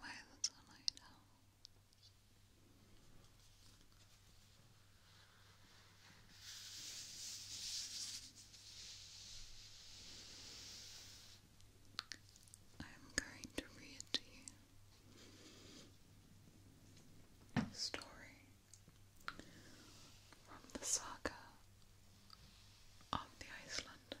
Hello, my little night I'm going to read to you Story from the saga of the Icelanders.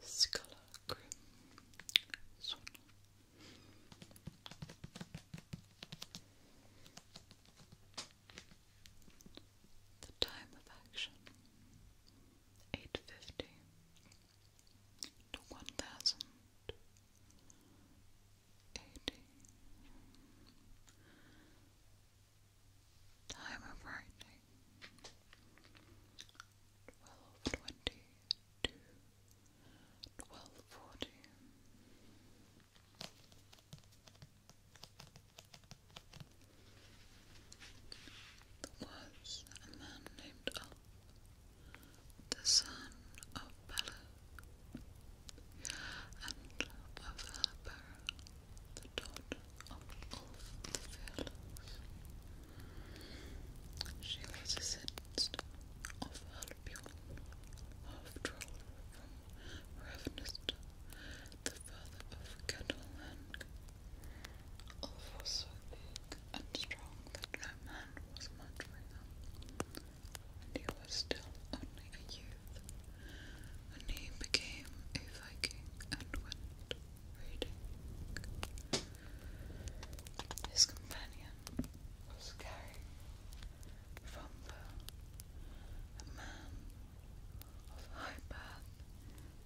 Skullark Swan The time of action eight fifty to one thousand eighty Time of writing twelve twenty to twelve forty. was a man named Ulf, the son of Bela and of Halper, the dot of all the furlongs. She was a sentenced of Albion, half from Ravenist, the father of Catalan. All was so big and strong that no man was much with him, and he was still only a youth and he became a Viking and went raiding. His companion was carrying from the man of high birth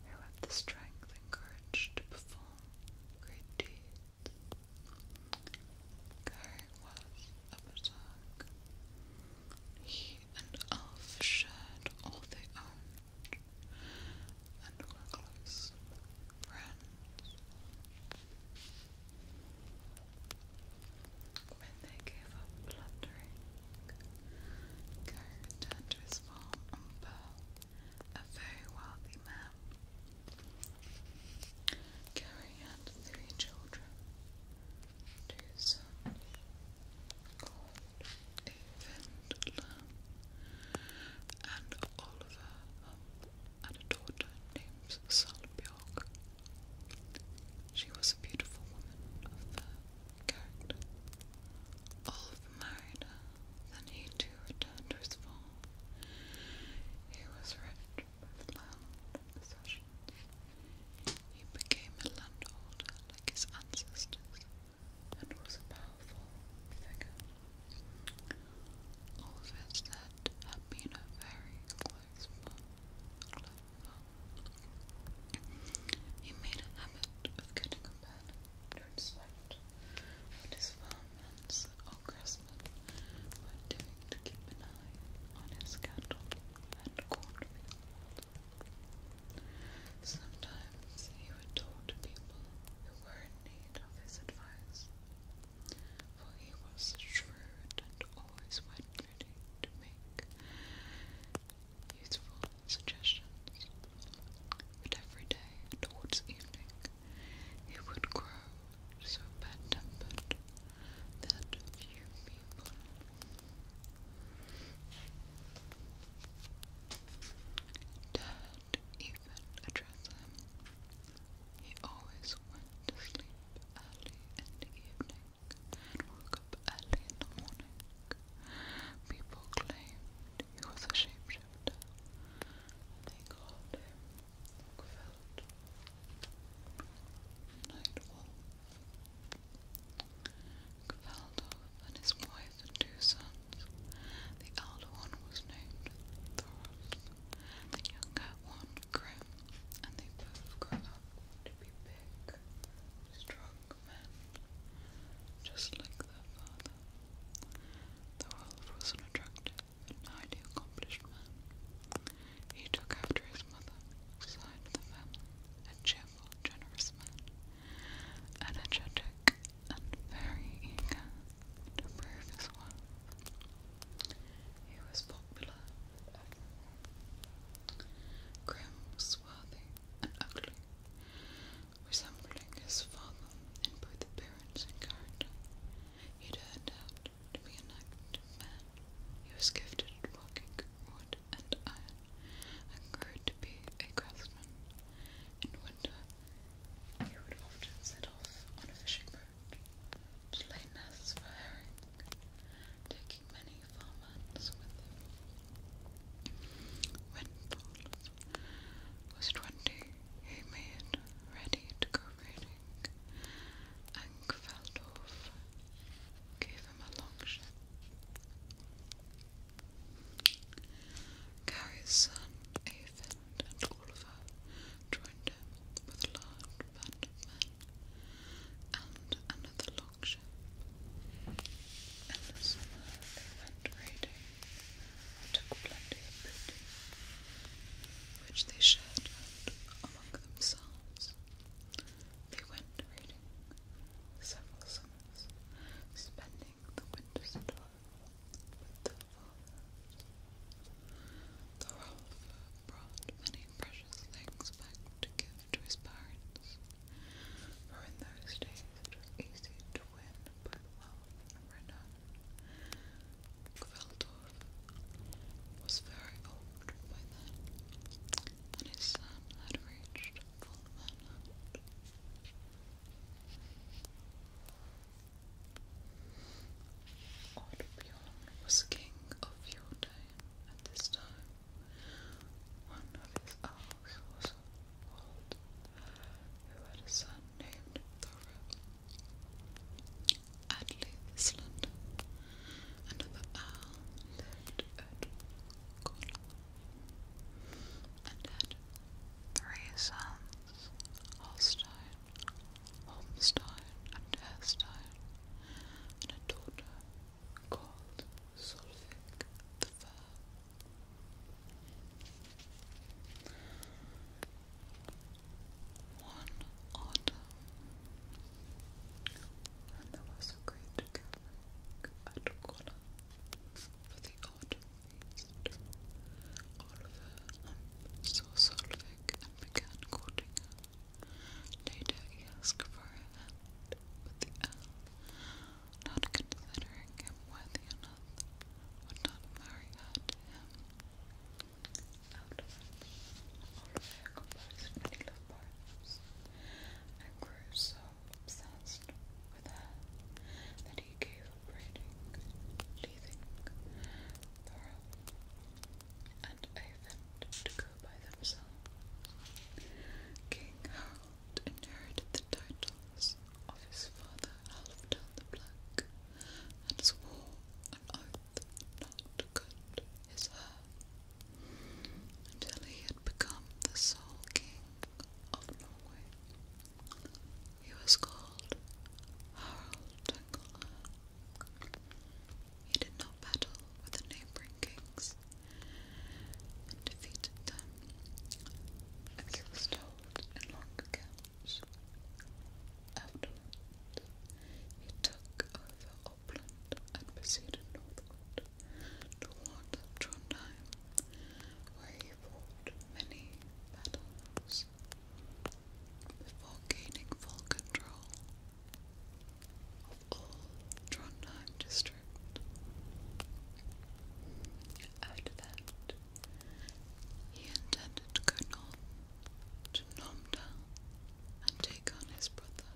who had the strength and courage to perform great deeds. Gary was a berserk and Alf shared all they owned and were close friends. When they gave up plundering, Gary returned to his farm on Pearl, a very wealthy man. Gary had three children, do some called Evendlam and Oliver had a daughter named Solbjorg. She was a beautiful woman of the character. Olaf married her, then he too returned to his He was rich with land and possessions. He became a landholder like his ancestors and was a powerful figure. All of his debt had been a very close one. He made a habit of getting a bed to inspect what his farmhands or craftsmen were to keep an eye on his cattle and cornfields. Sometimes he would talk to people who were in need of his advice, for he was shrewd and always went ready to make useful suggestions. But every day towards evening he would grow so bad-tempered that of people. Dad even addressed him. He always went to sleep early in the evening and woke up early in the morning. People claimed he was a shapeshifter. They called him Nightwolf, Gvaldo and his wife and two sons. The elder one was named Thorolf, the younger one Grim, and they both grew up to be big, strong men, just like their father. Thorolf was an attractive highly accomplished man. He took after his mother, side the family, and cheered generous man, energetic and very eager to prove his worth. He was popular Grim, swarthy, and ugly, resembling his father in both appearance and character, he turned out to be an active man. He was gifted at walking, or wood and iron, and grew to be a craftsman. In winter, he would often set off on a fishing boat to lay nests for herring, taking many farmhands with him. When Paul was twenty, he made ready to go raiding, and Gave him a long shot. son, Avon, and Oliver joined him with a large band of men and another longship. In the summer they went raiding took plenty of booty, which they shared among themselves. They went raiding several summers, spending the winters at home with their fathers. Thorolf brought many precious things back to give to his parents, for in those days it was easy to win by wealth and renown. Gveldorf was very old by then, when his son um, had reached full manhood. Oddbjorn was king of Fjordain at this time. One of his hours was old, who had a son named Thor. Atli the Another owl lived at Cornwall and had three sons, Holstein, Holmstein, and Herstein, and a daughter called Solvig the Fair. One autumn, and there was is going to come back at for the autumn feast. Oliver saw Solvig and began courting Later he asked for her hand with the elf, not considering him worthy enough, would not marry her him. Out Oliver composed many of poems. I grew so obsessed with her that he gave up reading, leaving Thorold and Avent to go by themselves. King Harold inherited the titles of his father Halfdan the Black and swore an oath not to cut his hair until he had become the sole king of Norway. He was called Harald Tangola. He did not battle with the neighboring kings and defeated them, as he was told in he took and proceeded northward toward Trondheim, where he fought many battles before gaining full control of all Trondheim district. After that, he intended to go north to Nomdal and take on his brother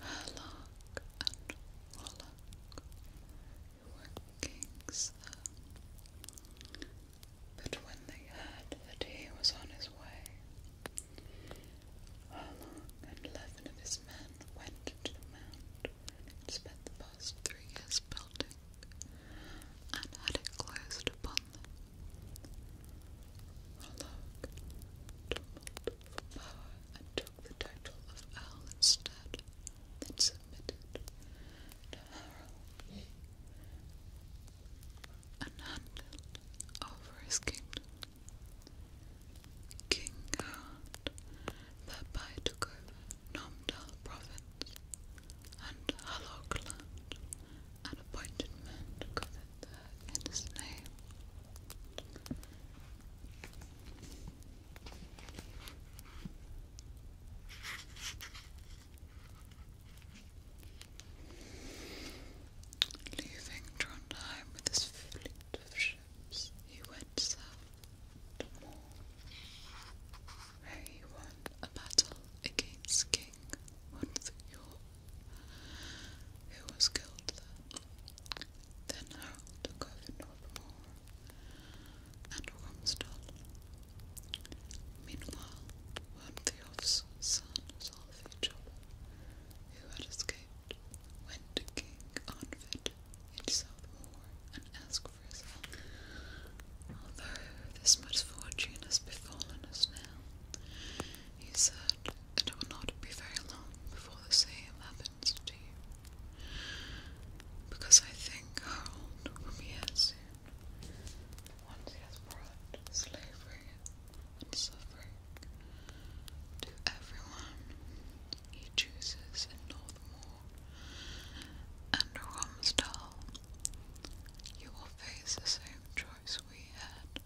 Hallock and Wallock workings there. But when they heard that he was on his way, Harlock and eleven of his men went to the mound and spent the past three years building, and had it closed upon Malak, tumult for power, and took the title of Al instead, then submitted Harold and handed over his kingdom. King Harald thereby took over Nomdal province and Halogland an appointment covered there in his name. Leaving Trondheim with his fleet of ships, he went south he won a battle against King Hunthjorg who was killed there. Then Harold took over Northmore and Wormsdale. Meanwhile, Wormthiof's son Solvay who had escaped, went to King Arnvid in Southmore and asked for his help. Although this misfortune has befallen us now, he said, It will not be very long before the same happens to you, because I think Harold will be here soon, once he has brought slavery and suffering to everyone he chooses in Northmoor and Romsdal. You will face the same choice we had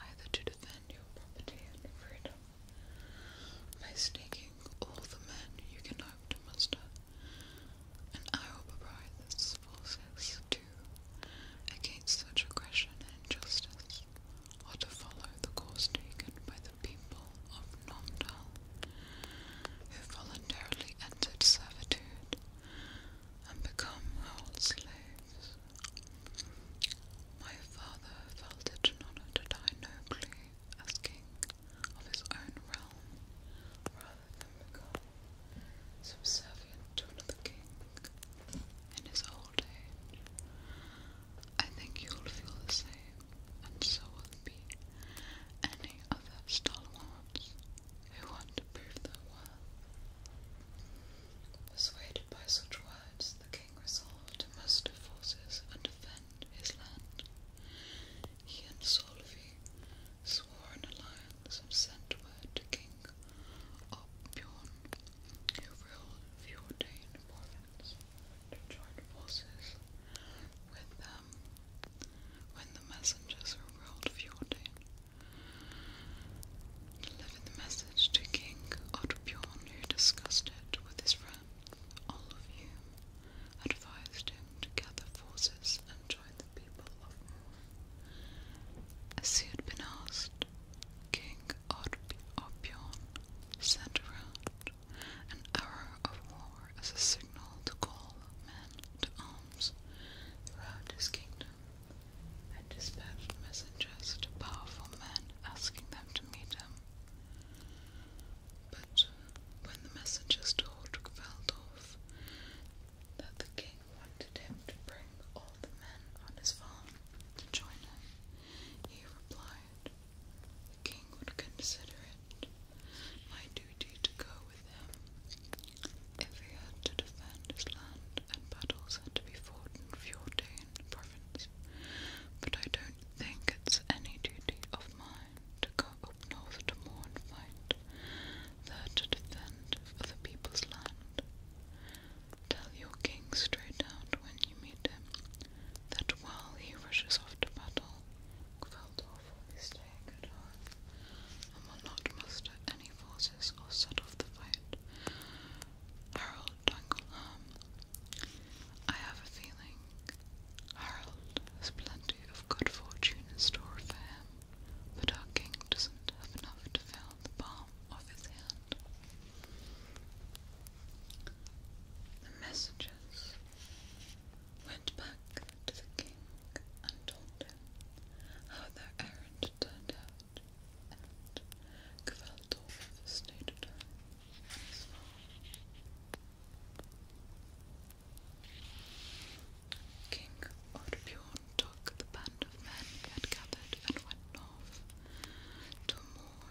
either to defend your property and freedom by sneaking all the men you can hope to muster, and I will provide this forces too against such aggression and injustice, or to follow the course taken by the people of Nomdal, who voluntarily entered servitude and become held slaves. My father felt it an honor to die nobly as king of his own realm, rather than become subservient to another king in his old age. I think you'll feel the same, and so will be any other stalwarts who want to prove their worth. Persuaded by such words, the king resolved to muster forces and defend his land. He and Solvi swore an alliance and sent word to King Opbjorn, who ruled Fjordain province, to join forces with them. When the messengers who ruled Fjordain delivered the message to King Ottobjorn, who discussed it with his friends, all of whom advised him to gather forces and join the people of Moor. As he had been asked, King Ottobjorn sent around an hour of war as a signal to call men to arms throughout his kingdom and dispatched messengers to powerful men asking them to meet him. But when the messengers told Gveldof that the king wanted him to bring all the men on his farm to join him, he replied, The king would consider it my duty to go with him, if he had to defend his land, and battles had to be fought in Fjordane province. But I don't think it's any duty of mine to go up north to moor and fight, there to defend other people's land. Tell your king straight out when you meet him that while he rushes off to battle, Kveldorf will be at home and will not muster any force houses or set off the fight. Harold Dunkelham. I have a feeling Harold has plenty of good fortune in store for him, but our king doesn't have enough to fill the palm of his hand. The messengers went back to the king and told him how their errand turned out. Kvällt och förstörd. Så. King Orbjorn took the band of men he had gathered and went north to Moor,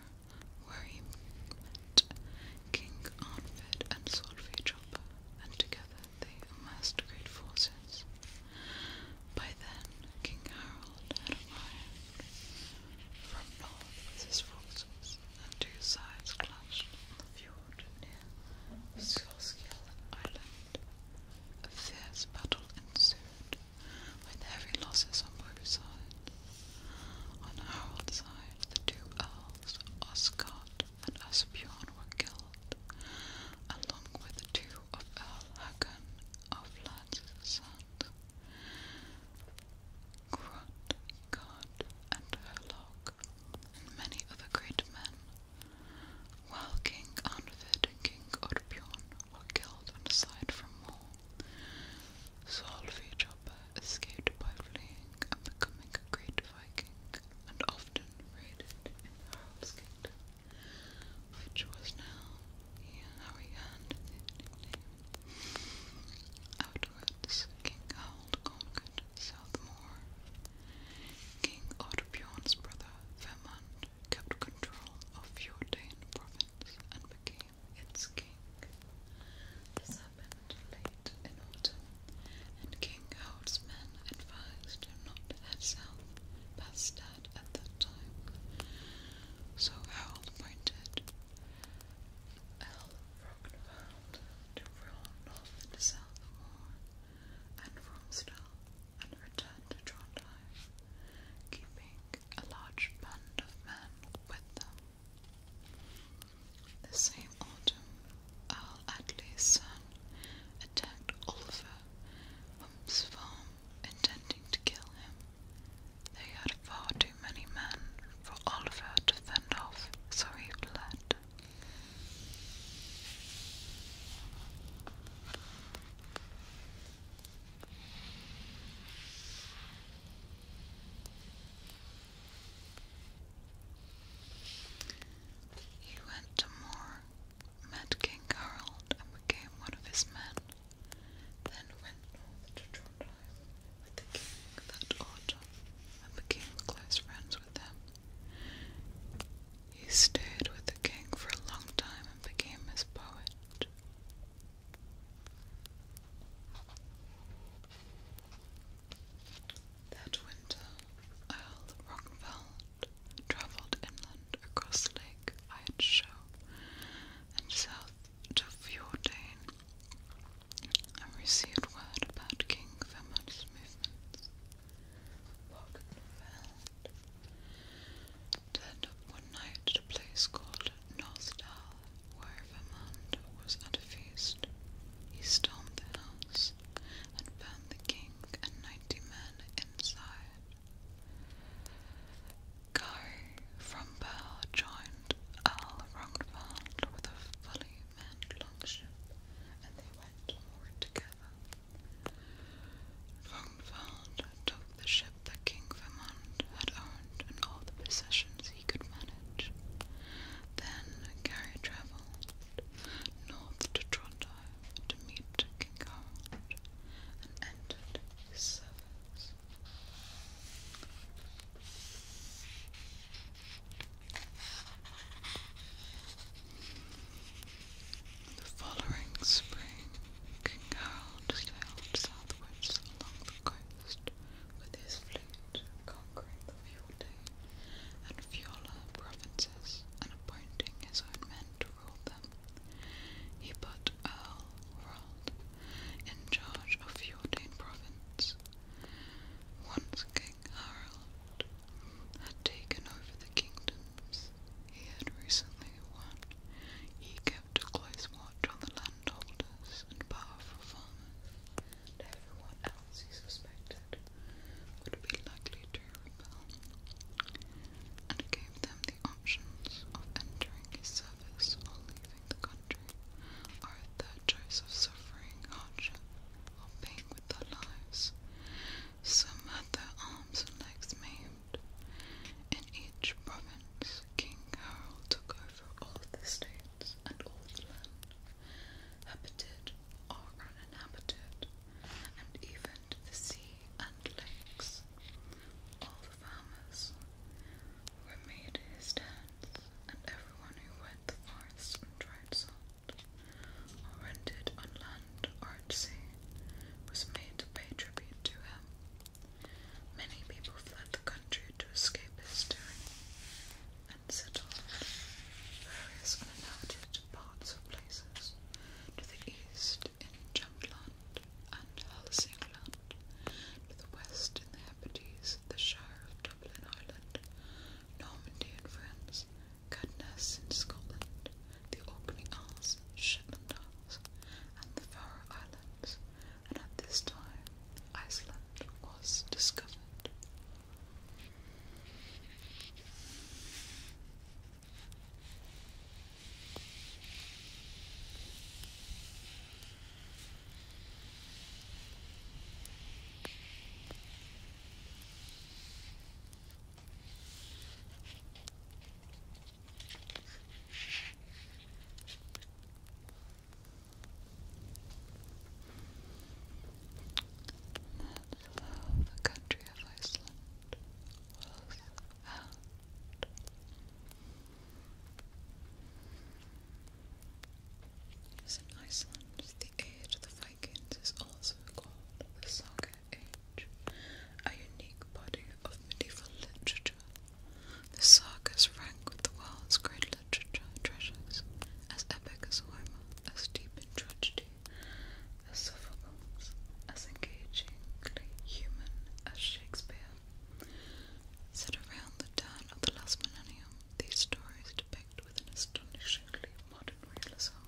where he met King Arnvid and Solveig Joppa, and together they amassed great forces. By then, King Harold had arrived. From north his forces, and two sides clashed on the fjord near Skorskill Island. A fierce battle ensued, with heavy losses on both sides. On Harold's side, the two earls, Oscard and Asbjorn, were killed, along with two of Al Hakan of Landsand, Grot, God, and Herlog, and many other great men, while King Arnvid King Orbjorn were killed and aside from war. Solvi Joppa escaped by fleeing and becoming a great Viking, and often raided in Harald's which was now yeah, how he earned King Harold Southmore. King Ottobjorn's brother, Vermund, kept control of Fjordane province and became its king. This happened late in autumn, and King Harold's advised him not to head south past at that time. So Harold pointed L. Rockneveld to roll north and south of Moore and and return to Trondheim, keeping a large band of men with them. The same autumn, Earl Atley's attacked Oliver Hump's farm, intending to kill him. They had far too many men for Oliver to fend off, so he fled. He went to Moor met King Harold and became one of his men, then went to Trondheim with the king that autumn and became close friends with him. He stayed with the king for a long time and became his poet. That winter, Earl Rockfeld and travelled inland across Lake Wydshaw and south to Fjordane and received word about King Fermat's movements. Bogdan found turned up one night at a place called Nostal, where Vermand was at a feast. He stormed the house and found the king and ninety men inside. Go from Pearl joined Earl Rongvald with a fully manned longship, and they went forward together. Rongvald took the ship that King Vermont had owned and all the possessions he could manage. Then Gary travelled north to Toronto to meet King Harold and entered his service. The following spring, King Harold sailed southwards along the coast with his fleet, conquering the Fiordane and Fiola provinces and appointing his own men he put Earl Rold in charge of Fjordane province. Once King Harald had taken over the kingdoms he had recently won, he kept a close watch on the landholders and powerful farmers, everyone else he suspected would be likely to and gave them the options of entering his service or leaving the country, Are a third choice of suffering hardship or paying with their lives. Some had their arms and legs maimed. In each province, King Harold took over all of the states and all the land, inhabited or uninhabited, and even the sea and lakes. All the farmers were made his tenants, and everyone who went the forests and tried salt, or rented on land or at sea, was made to pay tribute to him. Many people fled the country to escape his tyranny and settled various uninhabited to the east in Jutland and Helsingland, to the west in the Hebrides, the Shire of Dublin, Island, Normandy and France, Cadnes in Scotland, the Orkney Isles, Shetland Isles, and the Faroe Islands, and at this time Iceland was discovered. That's how the country of Iceland out. As in Iceland, the age of the Vikings is also called the Saga Age, a unique body of medieval literature. The sagas rank with the world's great literature treasures, as epic as Homer, as deep in tragedy as Sophocles, as engagingly human as Shakespeare. Set around the turn of the last millennium, these stories depict with an astonishingly modern realism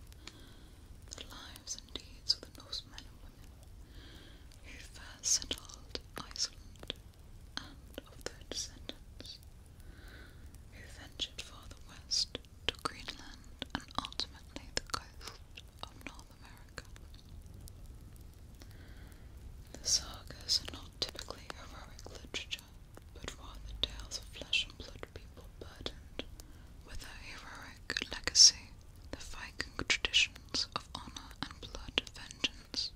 the lives and deeds of the Norsemen and women who first settled Iceland and of their descendants who ventured farther west to Greenland and ultimately the coast of North America. The sagas are not typically heroic literature, but rather tales of flesh and blood people burdened with a heroic legacy, the Viking traditions of honor and blood vengeance,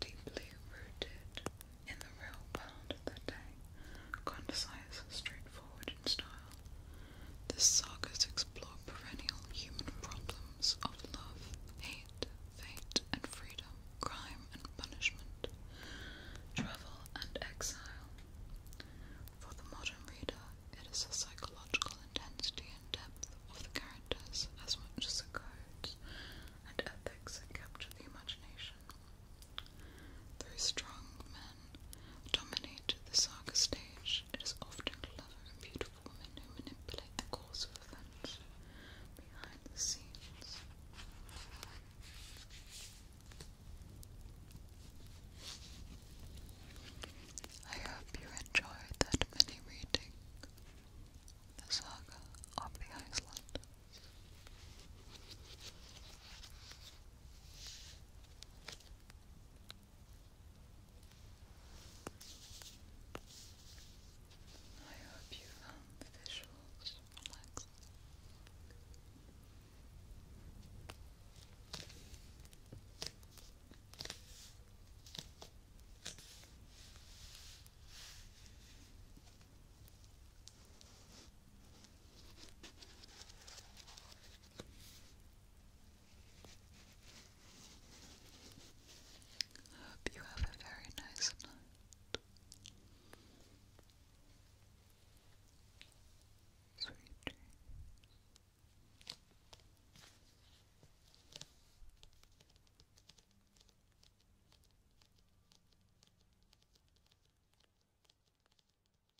deeply rooted in the real world of the day concise, straightforward in style. This sagas explore perennial human problems of love, hate, fate and freedom, crime and punishment, travel and exile. For the modern reader, it is the psychological intensity and depth of the characters as much as the codes and ethics that capture the imagination Though strong men dominate the saga stage, it is often clever and beautiful women who manipulate the course of events behind the scenes. I hope you enjoyed that mini reading, the saga of the Iceland. I hope you found the visuals relaxing. Hope you have a very nice night. Sweet dreams.